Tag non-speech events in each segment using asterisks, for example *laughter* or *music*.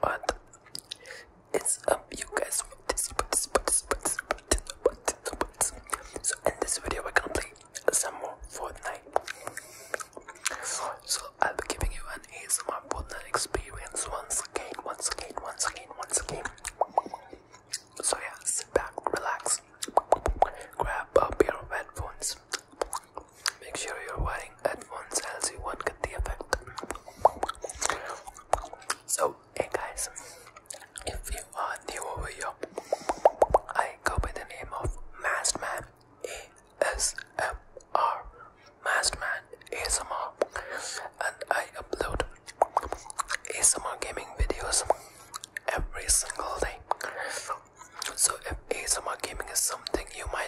What? up, you guys. So in this video, we're gonna play some more Fortnite. So I'll be giving you an ASMR Fortnite experience once again, once again, once again, once again. So yeah, sit back, relax, grab a up your headphones, Make sure you're wiring headphones, else you won't get the effect. So, hey guys, if you are new over here, I go the name of Mastman ASMR, Mastman ASMR, and I upload ASMR gaming videos every single day. So, if ASMR gaming is something you might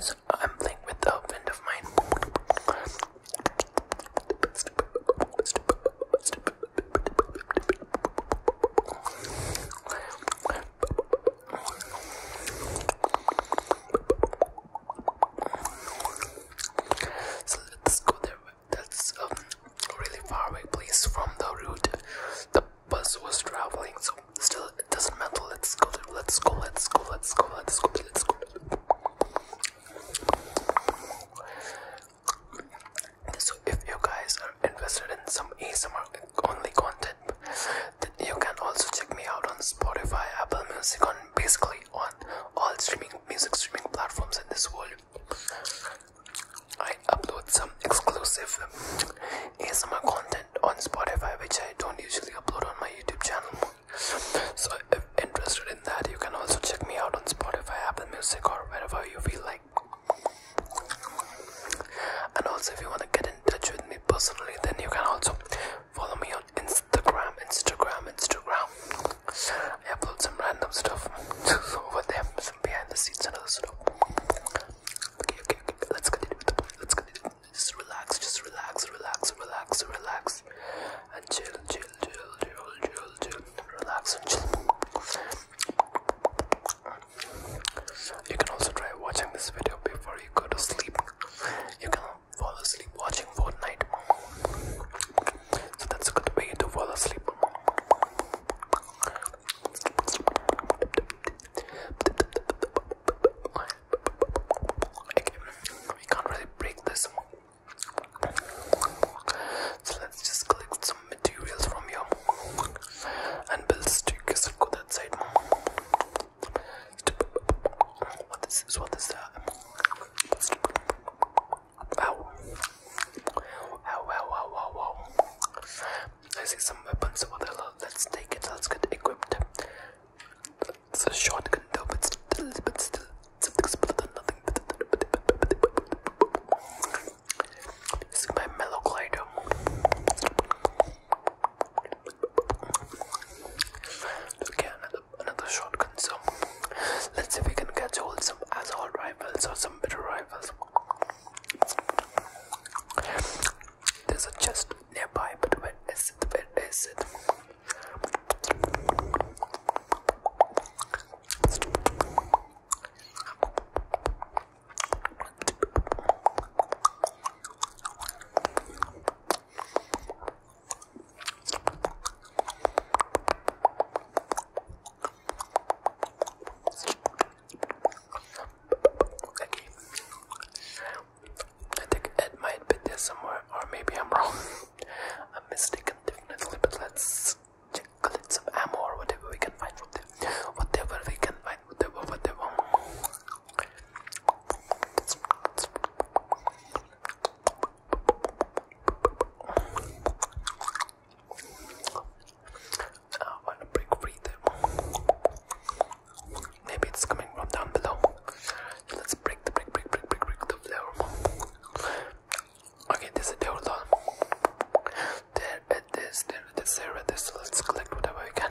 So I'm playing with a friend of mine. So let's go there that's a um, really far away place from the route the bus was traveling. So still, it doesn't matter. Let's go. Let's go. Let's go. Let's go. Let's go. Let's go. So if you guys are interested in some ASMR only content, then you can also check me out on Spotify, Apple Music, on basically on all streaming music streaming platforms in this world. I upload some exclusive ASMR content on Spotify, which I don't usually upload on my YouTube channel. So, if interested in that, you can also check me out on Spotify, Apple Music, or wherever you feel like. And also, if you want to get in touch with me personally, then you can also follow me on Instagram, Instagram, Instagram. I upload some random stuff *laughs* over there. some behind the scenes and other stuff. Okay, okay, okay. Let's continue with the point. Let's continue. Just relax, just relax, relax, relax, relax, and chill, chill, chill, chill, chill, chill, relax and chill. You can also try watching this video before you go to sleep. You can fall asleep watching Fortnite. So that's a good way to fall asleep. we can't really break this. So let's just collect some materials from here and build staircase and go that side. What is this? What is that? Ow. Ow, ow, ow, ow, I see some weapons over there. Let's take it. Let's get equipped. It's a shotgun though, but still, but still, something's better than nothing. This is my mellow glider. Again, another shotgun. So let's see if we can catch hold some assault rifles or some better rifles. There's a chest nearby, but where is it? Where is it? Okay. I think Ed might be there somewhere, or maybe I'm wrong. *laughs* I'm mistaken definitely, but let's check a little bit of ammo or whatever we can find from there. Whatever we can find, whatever, whatever. I want to break free though. Maybe it's coming from down below. So let's break the break, break, break, break, break the floor. Okay, this is the hold on. There it is, there it is, there it is. So let's collect whatever we can.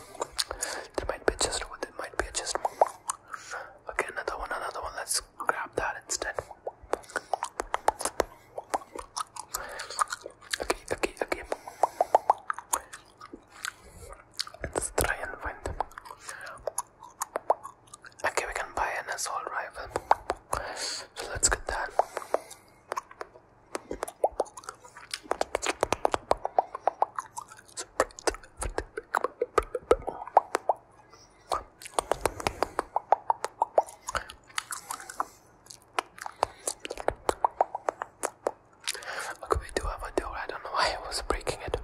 There might be a chest over there, might be a chest. Okay, another one, another one. Let's grab that instead. Okay, okay, okay. Let's try and find them. Okay, we can buy an assault rifle. So let's get that. Okay, we do have a door. I don't know why I was breaking it.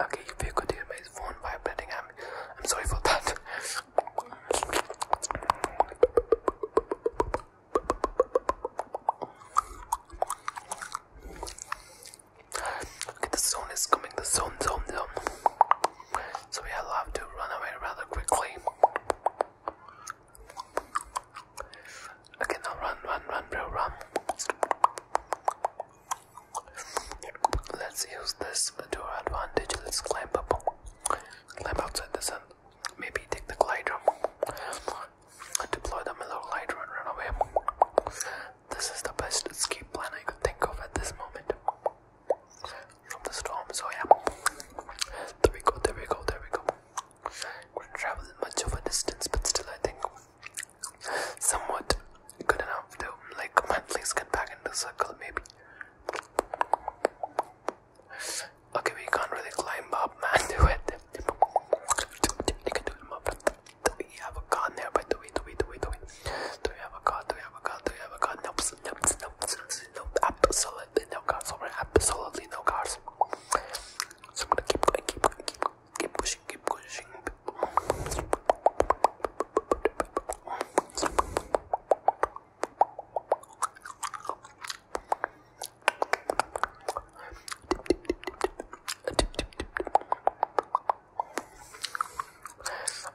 Okay, if you could hear my phone vibrating, I'm I'm sorry for that. *laughs* Okay, the zone is coming, the zone, zone, zone. So we have to run away rather quickly. Okay, now run, run, run, bro, run. Let's use this to our advantage. Let's climb up. Climb outside the sun. Maybe take the glide glider. Deploy the mellow glider and run away. This is the best escape plan I could think of at this moment. From the storm, so yeah. There we go, there we go, there we go. Couldn't travel much of a distance, but still I think somewhat good enough to like at least get back into the circle maybe. Okay, we can't really climb up, man. *laughs* Do it. You can do it, man. Do we have a car there? But do we, do we, do we, do we? Do we have a car? Do we have a car? Do we have a car? Nope, nope, nope, nope. Absolutely no cars over. Absolutely no cars. So I'm gonna keep going, keep going, keep going, keep pushing, keep pushing.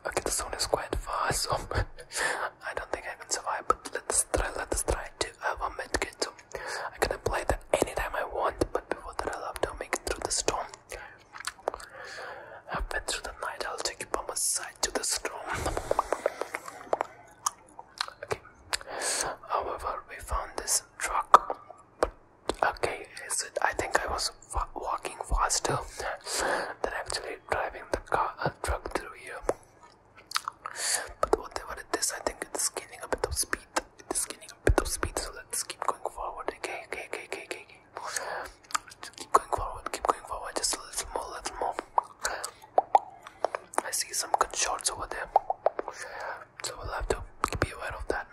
Okay, the zone is quite far, so *laughs* I don't think I can survive. But let's try. Let's try to have a medkit. So I can play that anytime I want. But before that, i have to make it through the storm. I've been through the night, I'll take you by my side to the storm. Okay. However, we found this truck. But okay, is it? I think I was walking faster than actually driving the car uh, truck through here. But whatever it is, I think it's gaining a bit of speed. It's gaining a bit of speed, so let's keep going forward. Okay, okay, okay, okay, okay keep going forward, keep going forward, just a little more, little more. I see some good shots over there, so we'll have to be aware of that.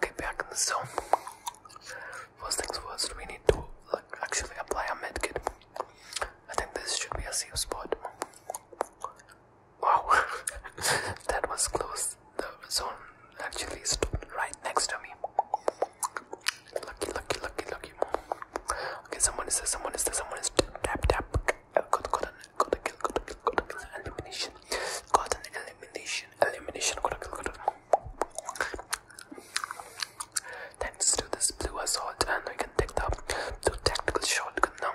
get back in the zone. First things first, we need to actually apply a medkit. I think this should be a safe spot. Wow, *laughs* that was close the zone actually is right next to me. Lucky, lucky, lucky, lucky. Okay, someone is there, someone is there, someone is tap, tap. Uh, got, got, an, got a kill, got a kill, got a kill, elimination. Got an elimination, elimination, got a kill, got a kill. Thanks to this blue assault, and we can take the, the tactical shotgun now.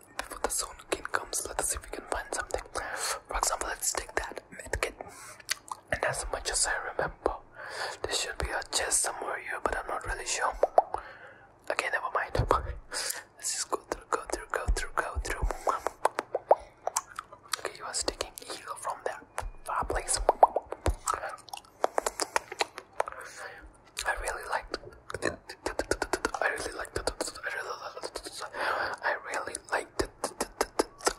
before the zone comes, let's see if we can find something. For example, let's take that kit. And as much as I remember, there should be a chest somewhere here, but I'm not really sure. Okay, never mind. *laughs* Let's just go through, go through, go through, go through. Okay, he was taking heal from there. fireplace. Ah, I really liked I really like the I really like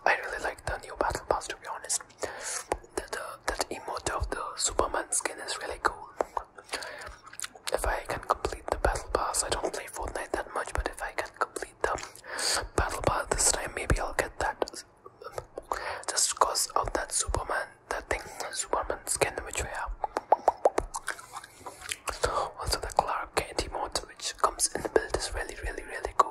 I really like the new battle pass to be honest. The, that emote of the Superman skin is really cool. If I can complete the battle pass, I don't play Fortnite that much, but if I can complete the battle pass this time, maybe I'll get that just because of that Superman, that thing, Superman skin which we have. Also the Clark Kent emote which comes in the build is really really really cool.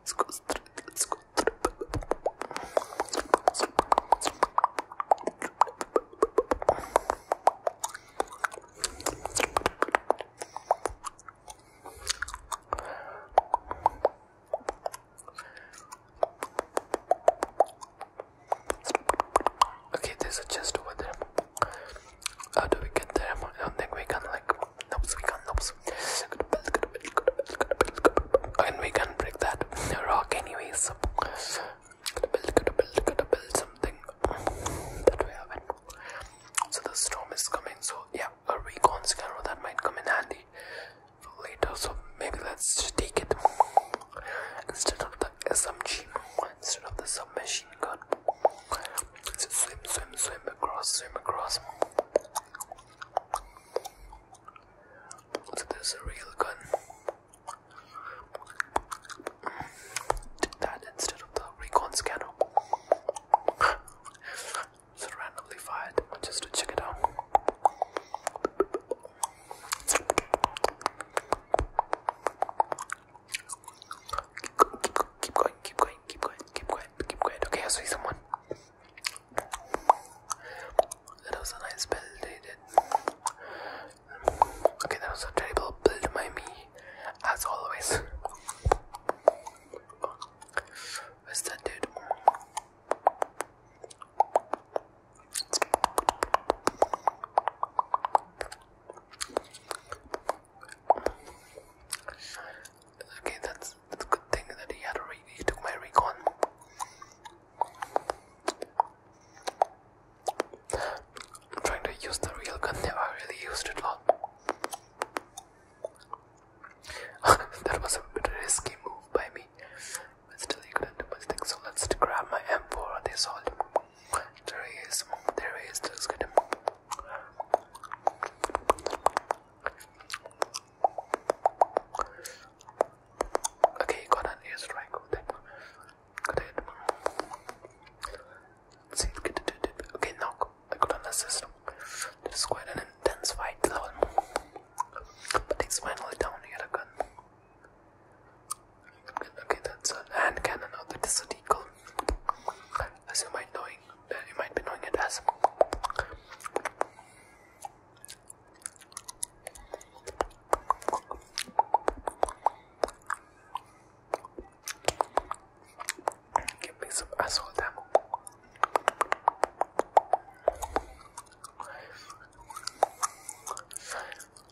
Let's go through. Let's go through. Okay, there's a chest over there. How do we get there? I don't think we can like Nope, we can't. Nope. And we can break that rock, anyways. Could build, could build, could build something that way. haven't. So the storm is coming. So yeah, a recon scanner that might come in handy later. So maybe let's take it instead of the SMG, instead of the submachine gun. Just swim, swim, swim across, swim across. So that's a real gun. that instead of the recon scanner. randomly fired just to check it out. keep going, keep going, keep quiet, keep quiet, keep quiet. Okay, I see someone. That was a nice build they Okay, that was a terrible build by me, as always. Where's that dude? Okay, that's, that's good thing that he had a re he took my recon. I'm trying to use the real gun there, really used it a lot. *laughs* that was a risky move by me. But still you couldn't do So let's grab my M4 this all. There he is. There he is. Let's get him. Okay, got an airstrike. Good aim. Good aim. Let's see, good, good, good. Okay, knock. I got an assist. This is quite an intense fight, lol. But it's finally down here again. Okay, that's an hand cannon of the Desert Eagle. As you might know, you might be knowing it as Give me some asshole damn.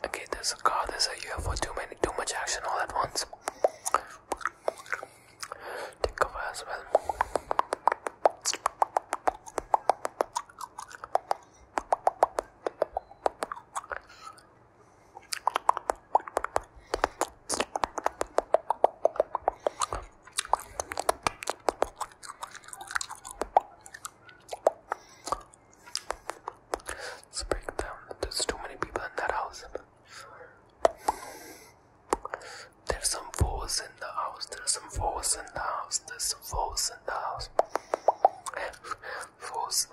Okay, there's a car, there's a UFO, too many too much action all at once. Take over as well. Let's break down. There's too many people in that house. There's some walls in the house. There's some walls in the house. There's some walls in the house. Walls.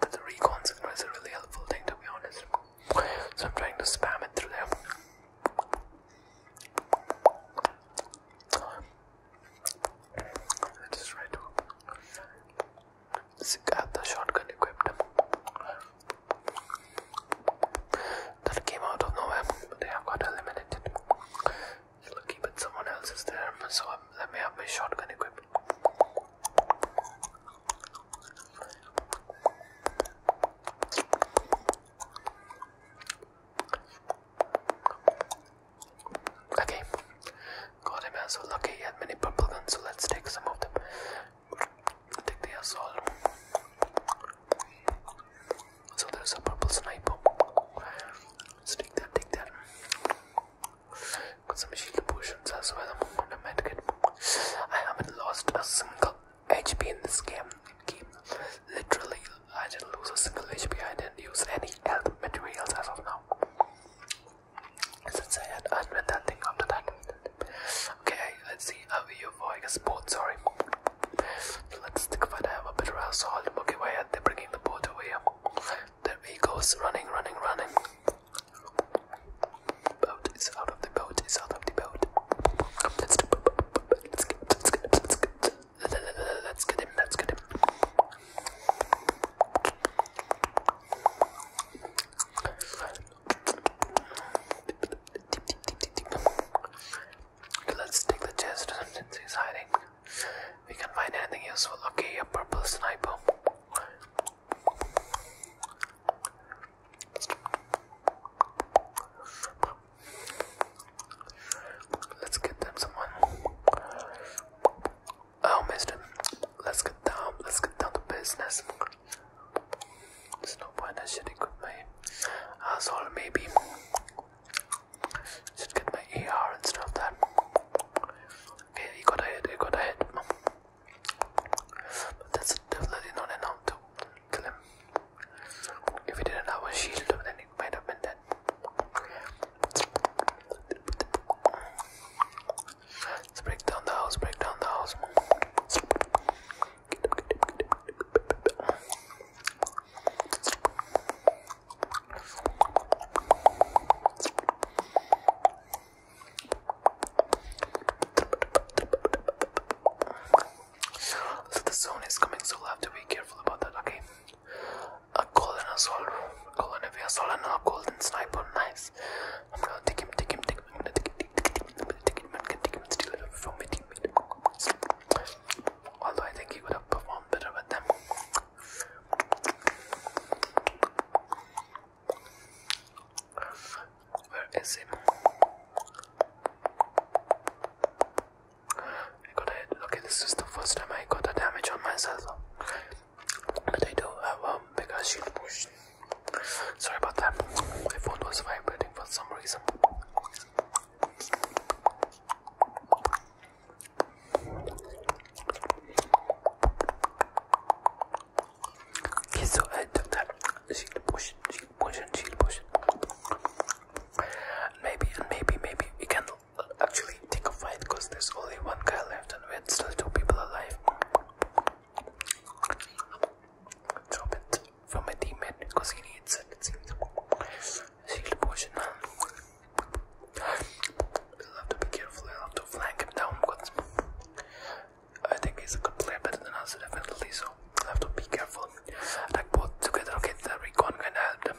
but the recon signal is a really helpful thing to be honest. So I'm trying to spam it through there. Let's this guy the shotgun equipped. That came out of nowhere, they have got eliminated. It's lucky, someone else is there, so I'm, let me have my shotgun equipped. Okay, God, I'm so lucky he had many purple guns, so let's take some of them. Take the assault. So there's a purple sniper. take that, take that. Got some shield potions as well, and a medkit. I haven't lost a single HP in this game. game. Literally, I didn't lose a single HP. I didn't use any health materials as of now. Since I had done with after that. Okay, let's see how we voyage a boat, sorry. Let's stick if I have a bit of assault. Okay, why are bringing the boat away? There he goes, running, running, running. Boat is out of the boat, is out of the boat. Let's, let's, get, let's, get, let let's get him, let's get him let's take the chest and since he's hiding. We can find anything useful. Okay, a purple sniper. Let's get them someone. Oh, mister, let's get down, let's get down to business. There's no point, in I should equip my asshole, maybe. Should get my ER and stuff that. he got ahead, he got ahead. But that's definitely not enough to kill him. If he didn't have a shield, then it might have been dead. Let's break down the house, break down the house. the zone is coming, so we to be careful about that, okay? a golden assault, golden a golden sniper. Nice. I'm gonna take him, take him, take him. I'm gonna take him, take him, I'm gonna take him, I'm gonna take him, steal it from my teammate. Although I think he would have performed better with them. Where is him? I got a, okay, this is the first time I got a damage on myself but I don't have um, big ass shield push. Sorry about that. My phone was vibrating for some reason. Okay, so I took that shield push, shield push, and shield push. Maybe, and maybe, maybe we can actually take a fight because there's only one guy left and we're still two people alive. Drop it from my teammate because he needs it, it seems. Shield potion. I'll to be careful, I'll to flank him down because I think he's a good better than us, definitely, so i have to be careful. Attack both together, okay, the recon kinda helped him.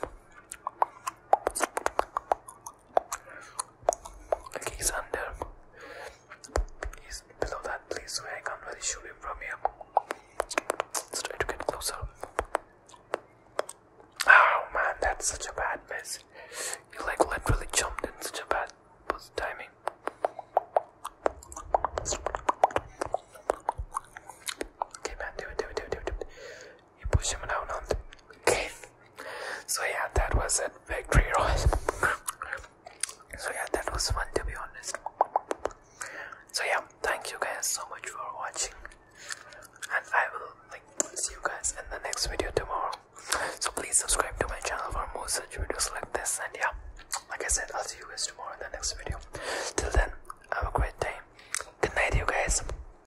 Like he's under. He's below that Please, where I can't really shoot him from here. try to get closer. Oh man, that's such a bad miss. You like literally jumped in such a bad timing. Okay man, do it, do it, do it, do it. You push him down on the cave. So yeah, that was it. Victory Royale. so yeah, that was fun to be honest. So yeah, thank you guys so much for watching. And I will see you guys in the next video tomorrow. So please subscribe to my channel for more such videos like this. And yeah, like I said, I'll see you guys tomorrow in the next video. Till then, have a great day. Good night you guys.